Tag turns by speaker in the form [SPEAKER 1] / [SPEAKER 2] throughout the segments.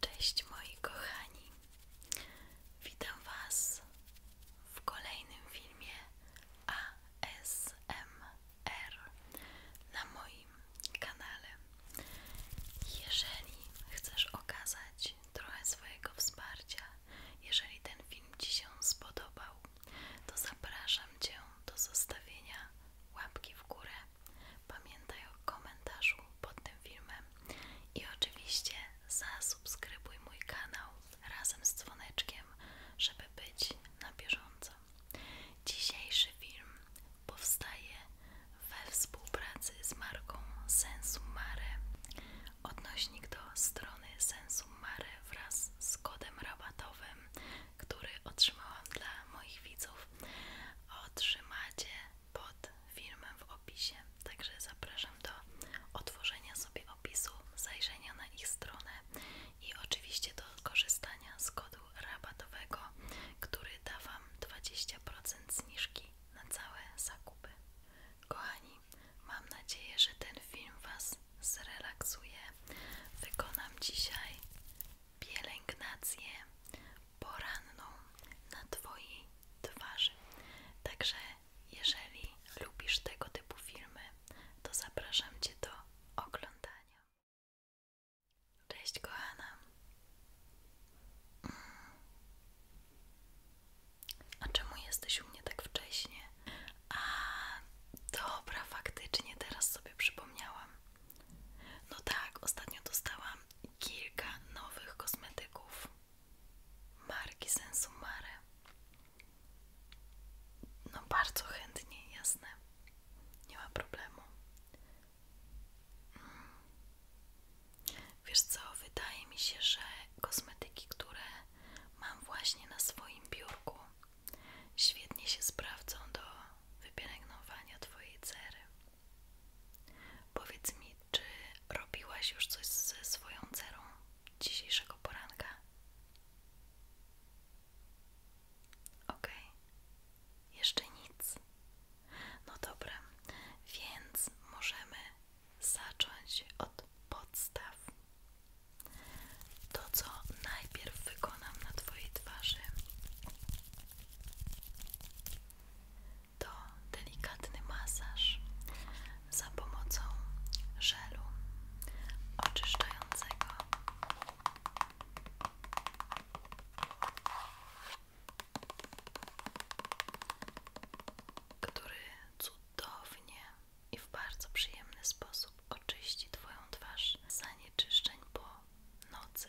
[SPEAKER 1] Cześć moi kochani, witam Was w kolejnym filmie ASMR na moim kanale. Jeżeli chcesz okazać trochę swojego wsparcia, jeżeli ten film Ci się spodobał, to zapraszam Cię do zostawienia łapki w górę Pamiętaj o komentarzu pod tym filmem i oczywiście zasubskrybuj mój kanał razem z dzwoneczkiem, żeby być na bieżąco. Dzisiejszy film powstaje we współpracy z marką Sensumare. Odnośnik do strony Sensumare wraz z kodem rabatowym, który otrzymałam dla moich widzów, otrzymacie pod filmem w opisie. Także zapraszam do otworzenia sobie opisu, zajrzenia na ich stronę i oczywiście do korzystania z kodu rabatowego, który da Wam 20% zniżki na całe zakupy. Kochani, mam nadzieję, że ten film Was zrelaksuje. Wykonam dzisiaj pielęgnację poranną na Twojej twarzy. Także jeżeli lubisz tego typu filmy, to zapraszam Cię do oglądania. Cześć kochana. Mm. A czemu jesteś u mnie tak wcześnie? A dobra, faktycznie teraz sobie przypomniałam. No tak, ostatnio dostałam kilka nowych kosmetyków marki Sensumare. No bardzo chętnie, jasne. Nie ma problemu. Wiesz co, wydaje mi się, że kosmetyki, które mam właśnie na swoim biurku, świetnie się sprawdzą do wypielęgnowania Twojej cery. Powiedz mi, czy robiłaś już coś ze swoją cerą dzisiejszego poranka? OK. jeszcze nic. No dobra, więc możemy zacząć od podstaw. To, co najpierw wykonam na Twojej twarzy, to delikatny masaż za pomocą żelu oczyszczającego. Który cudownie i w bardzo przyjemny sposób oczyści Twoją twarz z zanieczyszczeń po nocy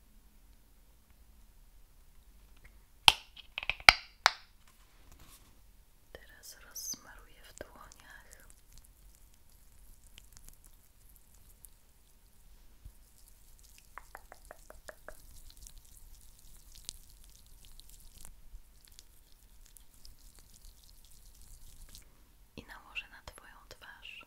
[SPEAKER 1] Teraz rozsmaruję w dłoniach. I nałożę na Twoją twarz.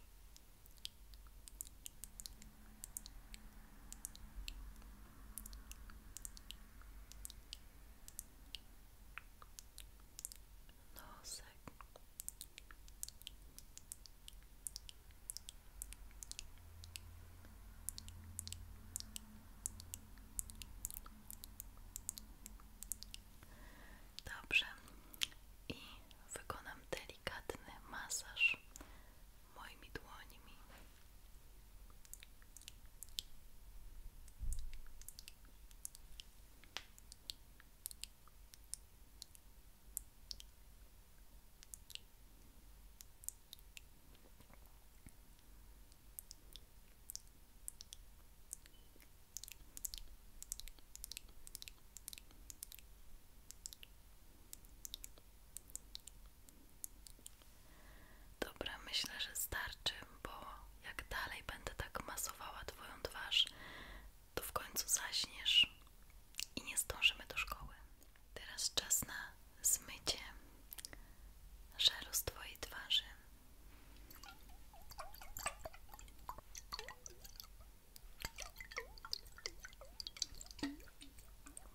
[SPEAKER 1] Nosek. Dobrze, i wykonam delikatny masaż moimi dłońmi. Dobra, myślę, że starczy, bo jak dalej będę tak masowała Twoją twarz, to w końcu zaśniesz i nie zdążymy do szkoły. Teraz czas na zmycie żelu z Twojej twarzy.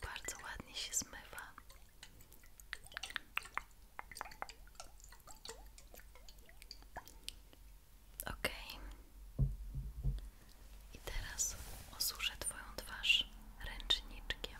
[SPEAKER 1] Bardzo ładnie się zmywa. Ok. I teraz osuszę Twoją twarz ręcznikiem.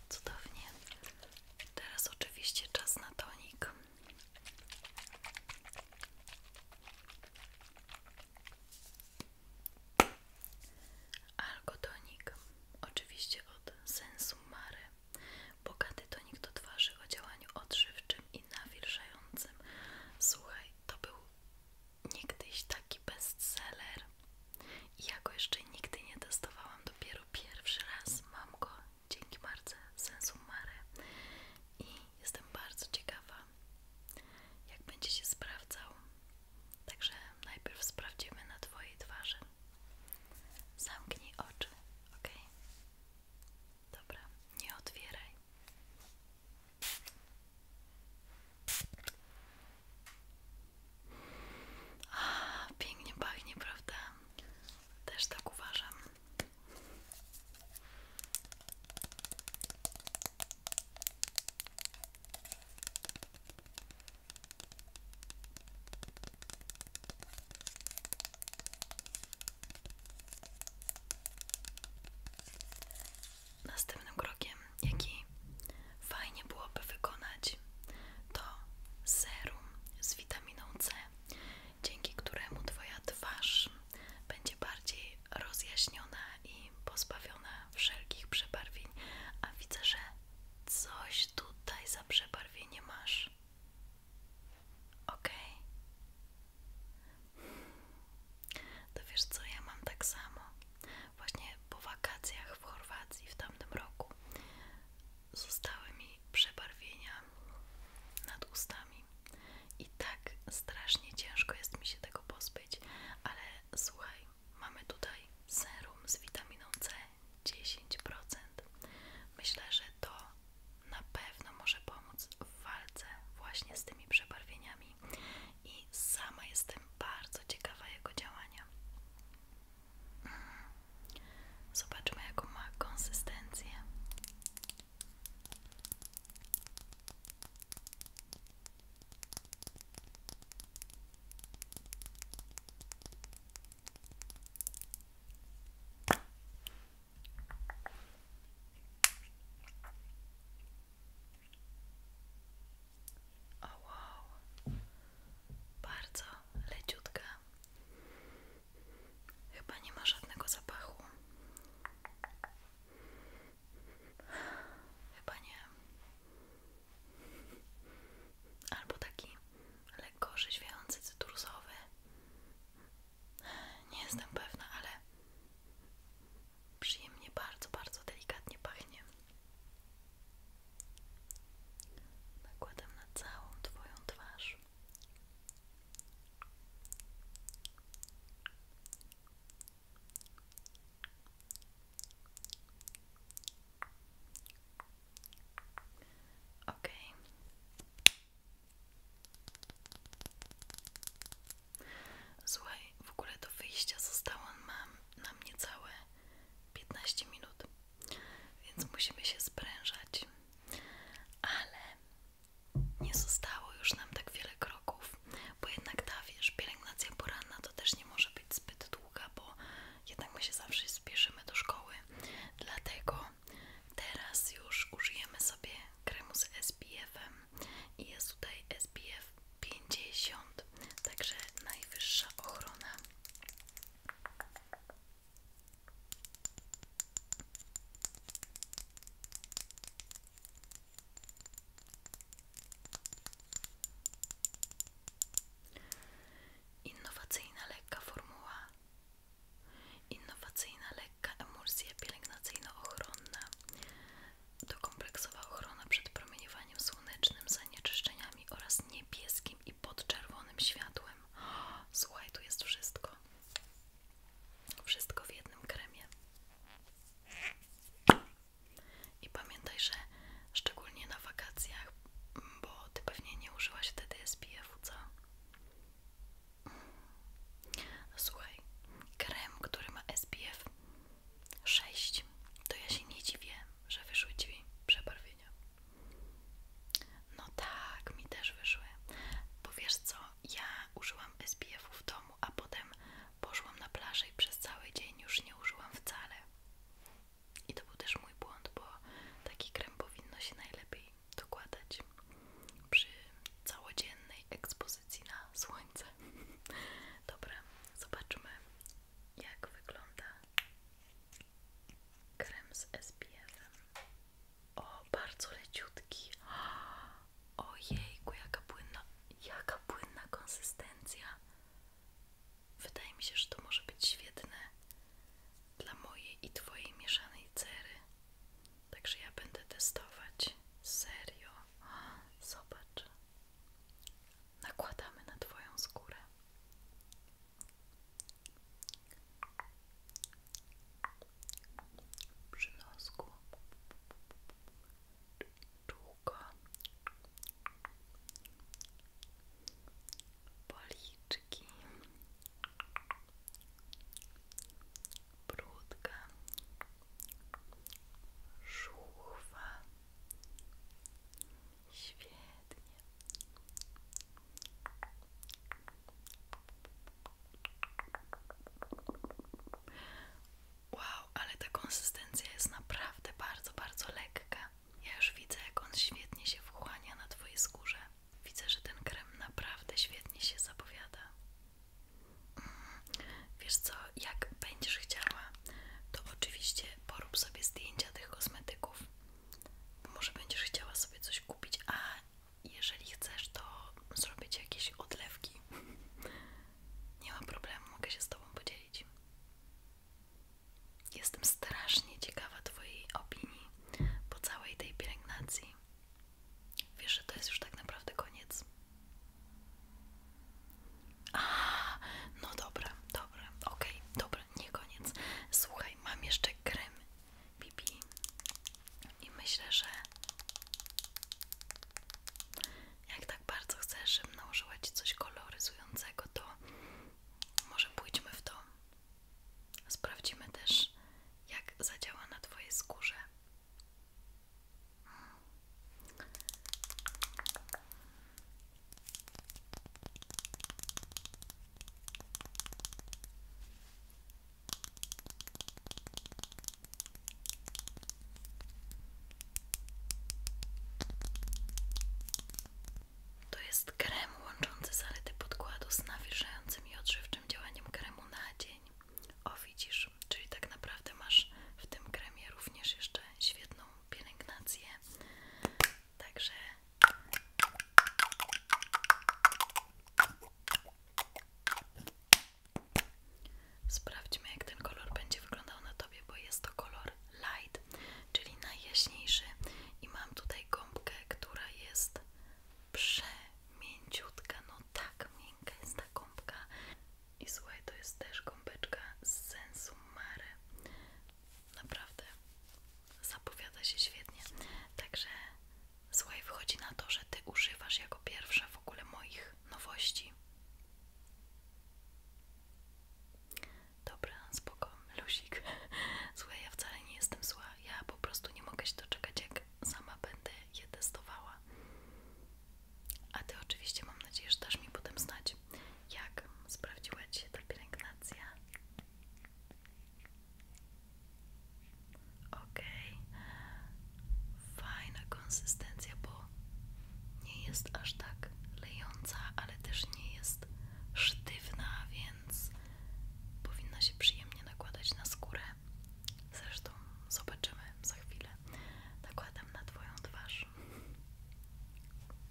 [SPEAKER 1] Cudownie. Teraz oczywiście czas na tonik. Algotonik, oczywiście od sensu mare. Bogaty tonik do twarzy o działaniu odżywczym i nawilżającym. Słuchaj, to był niegdyś taki bestseller. I ja go jeszcze nigdy nie testowałam, dopiero pierwszy raz mam go dzięki marce mare. i jestem bardzo ciekawa, jak będzie się sprawdzał. Także najpierw sprawdzimy na Twojej twarzy. Zamknij oczy, ok? Dobra, nie otwieraj. A, pięknie pachnie, prawda? Też tak uważam. Następnym krokiem, jaki Fajnie byłoby wykonać to serum z witaminą C, dzięki któremu Twoja twarz będzie bardziej rozjaśniona i pozbawiona wszelkich przebarwień. A widzę, że coś tutaj za przebarwienie masz. Ok. To wiesz co, ja mam tak samo właśnie po wakacjach w Chorwacji w tamtym roku zostały mi przebarwienia nad ustami i tak strasznie ciężko jest mi się tego pozbyć, ale słuchaj, mamy tutaj serum z witaminą C 10%. Myślę, że to na pewno może pomóc w walce właśnie z tymi przebarwieniami i sama jestem bardzo ciekawa jego działania. Zobaczmy, jaką ma
[SPEAKER 2] konsystencję.
[SPEAKER 1] O wow, bardzo leciutka. Chyba nie ma żadnego zapachu. Chyba nie. Albo taki lekko żyźwiący, cytrusowy. Nie jestem pewna, ale przyjemnie, bardzo, bardzo delikatnie pachnie. Nakładam na całą Twoją twarz. Ok. Słuchaj, w ogóle do wyjścia zostało nam, nam niecałe piętnaście minut więc musimy się sprężać. Ale nie zostało już nam tak wiele kroków, bo jednak ta wiesz, pielęgnacja poranna to też nie może być zbyt długa, bo jednak my się zawsze spieszymy do szkoły. Dlatego teraz już użyjemy sobie kremu z SPF-em i jest tutaj SPF 50, także najwyższa ochrona Innowacyjna lekka formuła. Innowacyjna lekka emulsja pielęgnacyjno-ochronna. To kompleksowa ochrona przed promieniowaniem słonecznym, zanieczyszczeniami oraz niebieskim i pod czerwonym światłem. Słuchaj, tu jest wszystko. Wszystko w jednym kremie. I pamiętaj, że szczególnie na wakacjach, bo ty pewnie nie użyłaś wtedy SPF-u, co? Słuchaj, krem, który ma SPF 6, to ja się nie dziwię, że wyszły drzwi przebarwione. No tak, mi też wyszły. Bo wiesz co, ja użyłam SPF-u w domu, a potem poszłam na plażę i przez cały dzień już nie użyłam wcale. I to był też mój błąd, bo taki krem powinno się najlepiej dokładać przy całodziennej ekspozycji na słońce. Dobra, zobaczmy jak wygląda krem z SPF-em. O, bardzo leciutki. Ojejku, jaka płynna, jaka płynna konsystencja. Wydaje mi się, że to może być świetne dla mojej i twojej mieszanej cery. Także ja będę testować. Serio. Zobacz. Nakładamy na twoją skórę przy nosku czułko brudka Żuchwa Świetnie. Wow, ale ta konsystencja jest naprawdę bardzo, bardzo lekka. Ja już widzę, jak on świetnie się wchłania na Twojej skórze. Widzę, że ten krem naprawdę świetnie się zapowiada. Mm. Wiesz co, jak będziesz chciała, to oczywiście porób sobie zdjęcia tych kosmetyków może będziesz chciała sobie coś kupić, a jeżeli chcesz, to zrobić jakieś odlewki. Nie ma problemu, mogę się z Tobą podzielić. Jestem strasznie ciekawa Twojej opinii po całej tej pielęgnacji. Wiesz, że to jest już tak naprawdę koniec. A, no dobra, dobra, ok, okay, dobra nie koniec. Słuchaj, mam jeszcze krem BB i myślę, że jak tak bardzo chcesz, żebym nałożyła Ci coś koloryzującego, to może pójdźmy w to. Sprawdzimy też, jak zadziała na Twojej skórze. To jest krem łączący zalety podkładu z nawilżającym i odżywczym działaniem kremu na dzień. O widzisz, czyli tak naprawdę masz w tym kremie również jeszcze świetną pielęgnację Także sprawdźmy, jak ten kolor będzie wyglądał na tobie, bo jest to kolor light, czyli najjaśniejszy. I mam tutaj gąbkę, która jest przemięciutka. No tak, miękka jest ta gąbka. I słuchaj, to jest też gąbeczka z sensu mare. Naprawdę zapowiada się świetnie. Także słuchaj, wychodzi na to, że ty używasz jako pierwsza w ogóle moich nowości. Dobra, spoko, luzik. Słuchaj, ja wcale nie jestem zła. Ja po prostu nie mogę się doczekać, jak sama będę je testowała. A ty oczywiście mam nadzieję, że dasz mi potem znać, jak sprawdziła Ci się ta pielęgnacja. Okej, okay. fajna konsystencja, bo nie jest aż tak lejąca, ale też nie jest sztywna, więc powinna się przyjemnie nakładać na skórę. Zresztą zobaczymy za chwilę. Nakładam na Twoją twarz.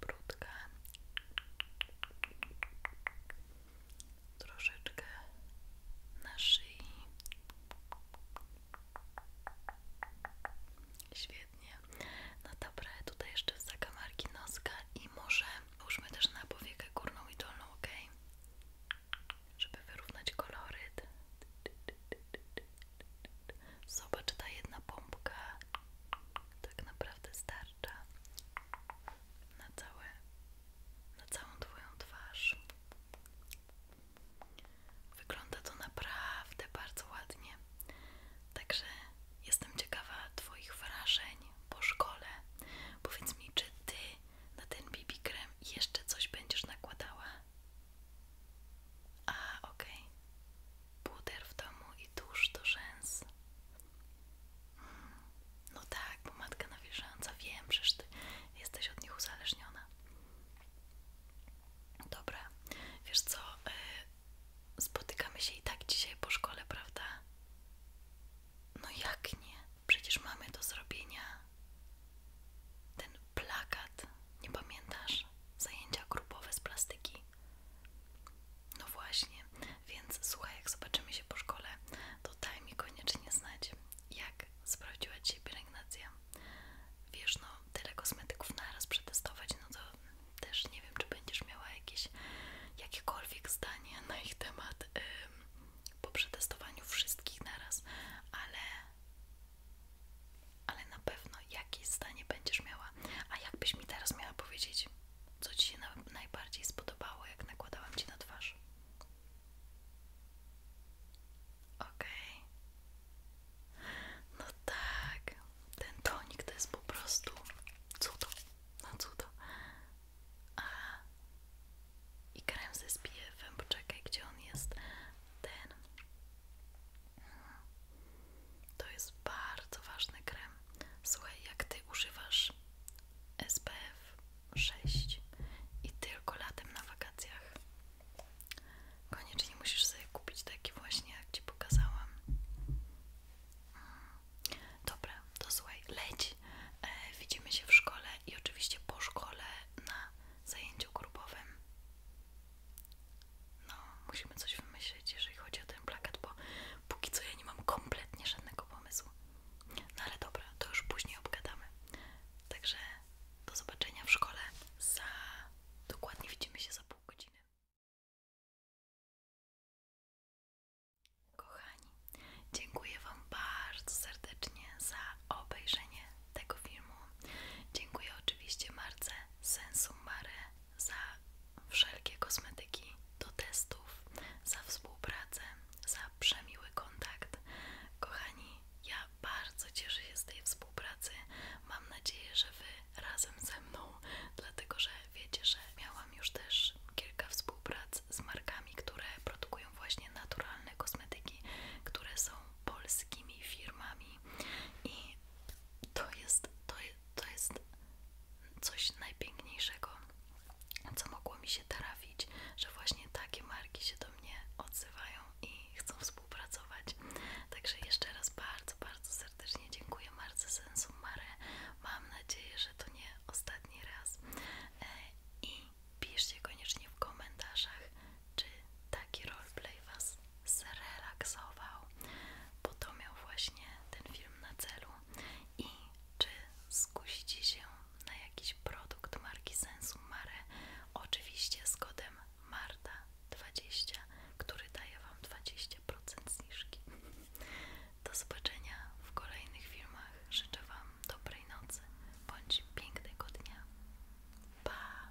[SPEAKER 1] brudkę troszeczkę na szyi świetnie no dobra, tutaj jeszcze w zakamarki noska i może użmy też na powiekę górną i dolną, ok? żeby wyrównać kolory Zobacz, ta jedna pompka tak naprawdę starcza na całe, na całą twoją twarz. Wygląda to naprawdę bardzo ładnie. Także jestem ciekawa Twoich wrażeń po szkole. Powiedz mi, czy Ty na ten BB krem jeszcze coś będziesz nakładała? A, ok. Okay. w domu i tusz do rzęs. Mm, no tak, pomadka nawilżająca. Wiem, przecież ty jesteś od nich uzależniona. Dobra, wiesz co? Y, spotykamy się i tak dzisiaj po szkole, prawda? No jak nie? Przecież mamy do zrobienia ten plakat, nie pamiętasz? Zajęcia grupowe z plastyki. No właśnie, więc słuchaj, jak zobaczymy się po szkole, to daj mi koniecznie znać, jak sprawdziła Ci pielęgnacja. Wiesz, no tyle kosmetyków naraz przetestować, no to też nie wiem, czy będziesz miała jakieś, jakiekolwiek zdanie na ich temat po przetestowaniu wszystkich naraz, ale ale na pewno jakieś stanie będziesz miała. A jakbyś mi teraz miała powiedzieć, co Ci się najbardziej spodobało, jak nakładałam Ci na twarz? ok No tak, ten tonik to jest po prostu cudo, no cudo. A i krem ze SPF-em, poczekaj, gdzie on jest? Ten. To jest bardzo ważny krem. Słuchaj, jak ty używasz SPF 6 i tylko latem na wakacjach. Koniecznie musisz sobie kupić taki właśnie, jak ci pokazałam. Dobra, to słuchaj, leć. E, widzimy się w szkole i oczywiście po szkole na zajęciu grupowym. No, musimy coś wymyślić, jeżeli chodzi o ten plakat, bo póki co ja nie mam kompletnie żadnego pomysłu. No ale dobra, to już później obgadamy. Także do zobaczenia w szkole za... dokładnie widzimy się za pół godziny. Kochani, dziękuję Wam bardzo serdecznie za obejrzenie tego filmu. Dziękuję oczywiście Marce Sensumare za wszelkie kosmetyki do testów, za współpracę, za przemiły kontakt. Kochani, ja bardzo cieszę się z tej współpracy. Mam nadzieję, że Wy razem ze mną, dlatego że wiecie, że miałam już też kilka współprac z markami, które produkują właśnie naturalne kosmetyki, które są polskimi firmami i to jest, to, jest coś najpiękniejszego, co mogło mi się trafić, że właśnie takie marki się do mnie odzywają i chcą współpracować. Także jeszcze raz bardzo, bardzo serdecznie dziękuję Marce Sensu Mare. Mam nadzieję, że to nie ostatni raz. E, I piszcie koniecznie w komentarzach, czy taki roleplay Was zrelaksował, bo to miał właśnie ten film na celu i czy skusicie się na jakiś produkt marki Sensu Mare, oczywiście z kodem MARTA20, który daje Wam 20% zniżki. Do zobaczenia w kolejnych filmach. Życzę Wam dobrej nocy bądź pięknego dnia. Pa!